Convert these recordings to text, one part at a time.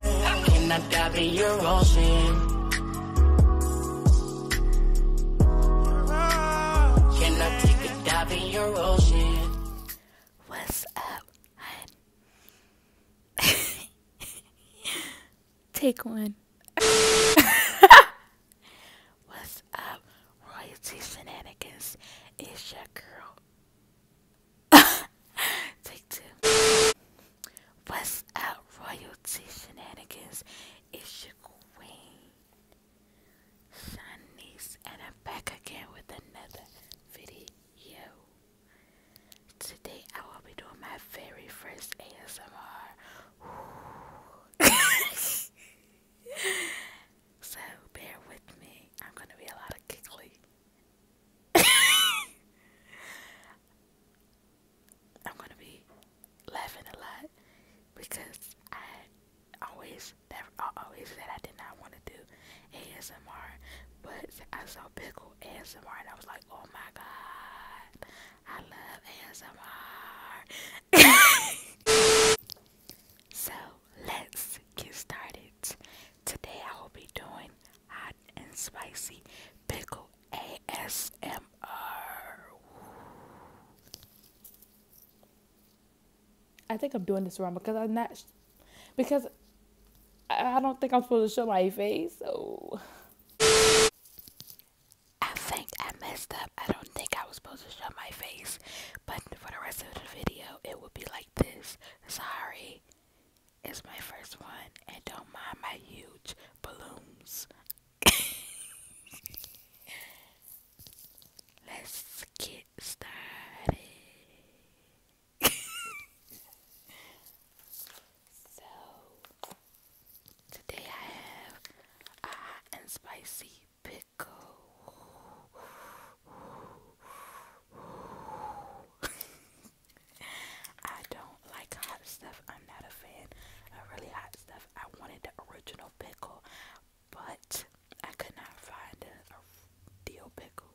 take What's up, take one. What's up, royalty shenanigans? It's your girl, Take two. What's up, royalty shenanigans? It's your queen, Shanice, and I'm back again with another video. Today I will be doing my very first ASMR. so bear with me. I'm gonna be a lot of giggly. I'm gonna be laughing a lot because I always never always said I did not want to do ASMR, but I saw Pickle ASMR and I was like, oh my god, I love ASMR. so let's get started. Today I will be doing hot and spicy pickle ASMR. I think I'm doing this wrong because I'm not because I don't think I'm supposed to show my face. So I think I messed up. I don't think I was supposed to show my face, but for the rest of the video, it will be like this. Sorry. It's my first one, and don't mind my huge balloons. Let's get started. so, today I have a hot and spicy pickle. I don't like hot stuff. I'm not a fan of really hot stuff. I wanted the original pickle, but I could not find a, a deal pickle.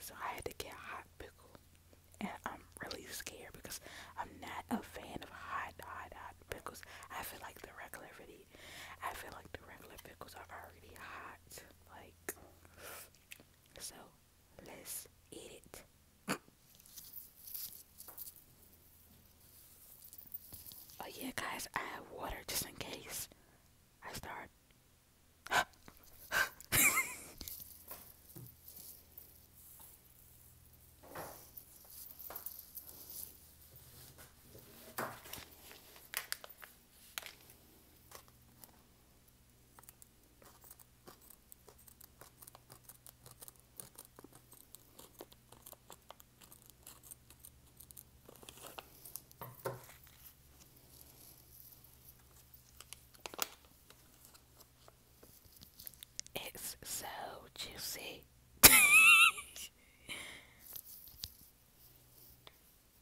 So I had to get hot pickle. And I'm really scared because I'm not a fan of hot, hot, hot pickles. I feel like the regular really, I feel like the regular pickles are already hot. Like so Let's eat it. oh yeah guys, I have water just in case I start. It's so juicy.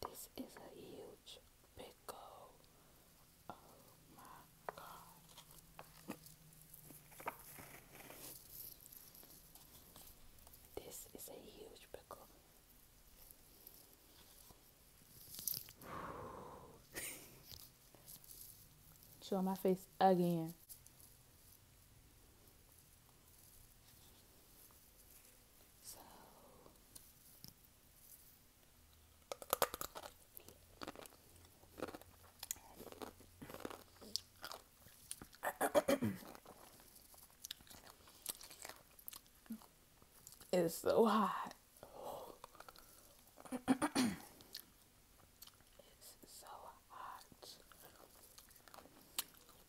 This is a huge pickle. Oh my god. This is a huge pickle. Show my face again. it's so hot. it's so hot.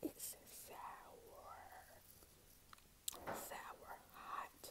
It's sour, sour, hot.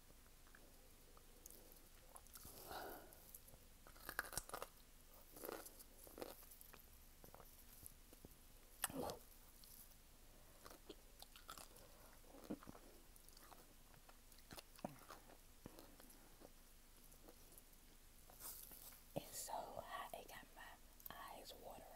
It's so hot, it got my eyes watering.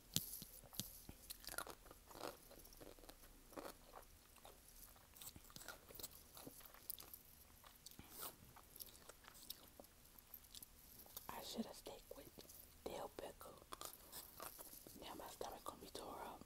I should have stayed with dill pickle. Now my stomach gonna be tore up.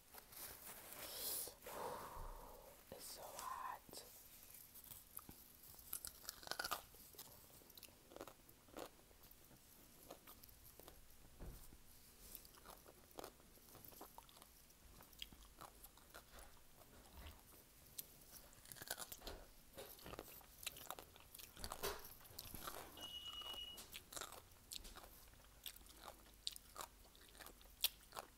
It's so hot.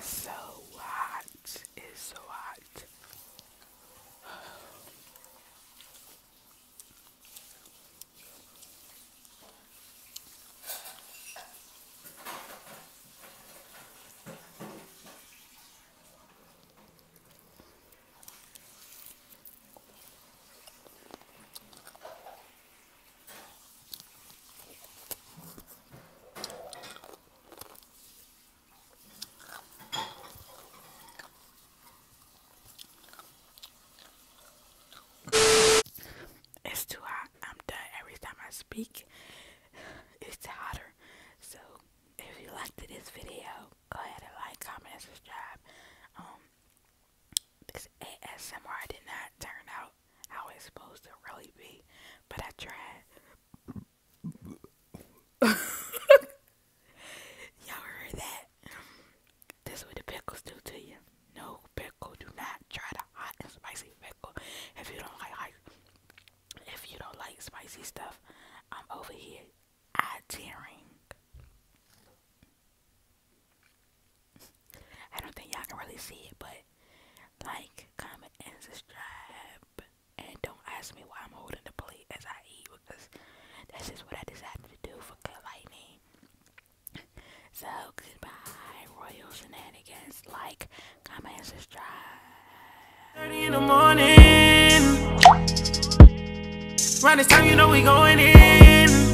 So hot. It's so hot. It's too hot. I'm done every time I speak. It's hotter. So if you liked this video, go ahead and like, comment, and subscribe. Um, this ASMR did not turn out how it's supposed to really be, but I tried. Y'all heard that? This what the pickles do to you. No pickle. Do not try the hot and spicy pickle. If you don't like, like if you don't like spicy stuff, I'm over here eye tearing. I don't think y'all can really see it, but like, comment, and subscribe. And don't ask me why I'm holding the plate as I eat because that's just what I decided to do for Good Lightning. So, goodbye, Royal Shenanigans. Like, comment, and subscribe. 30 in the morning. Round this time, you know we going in.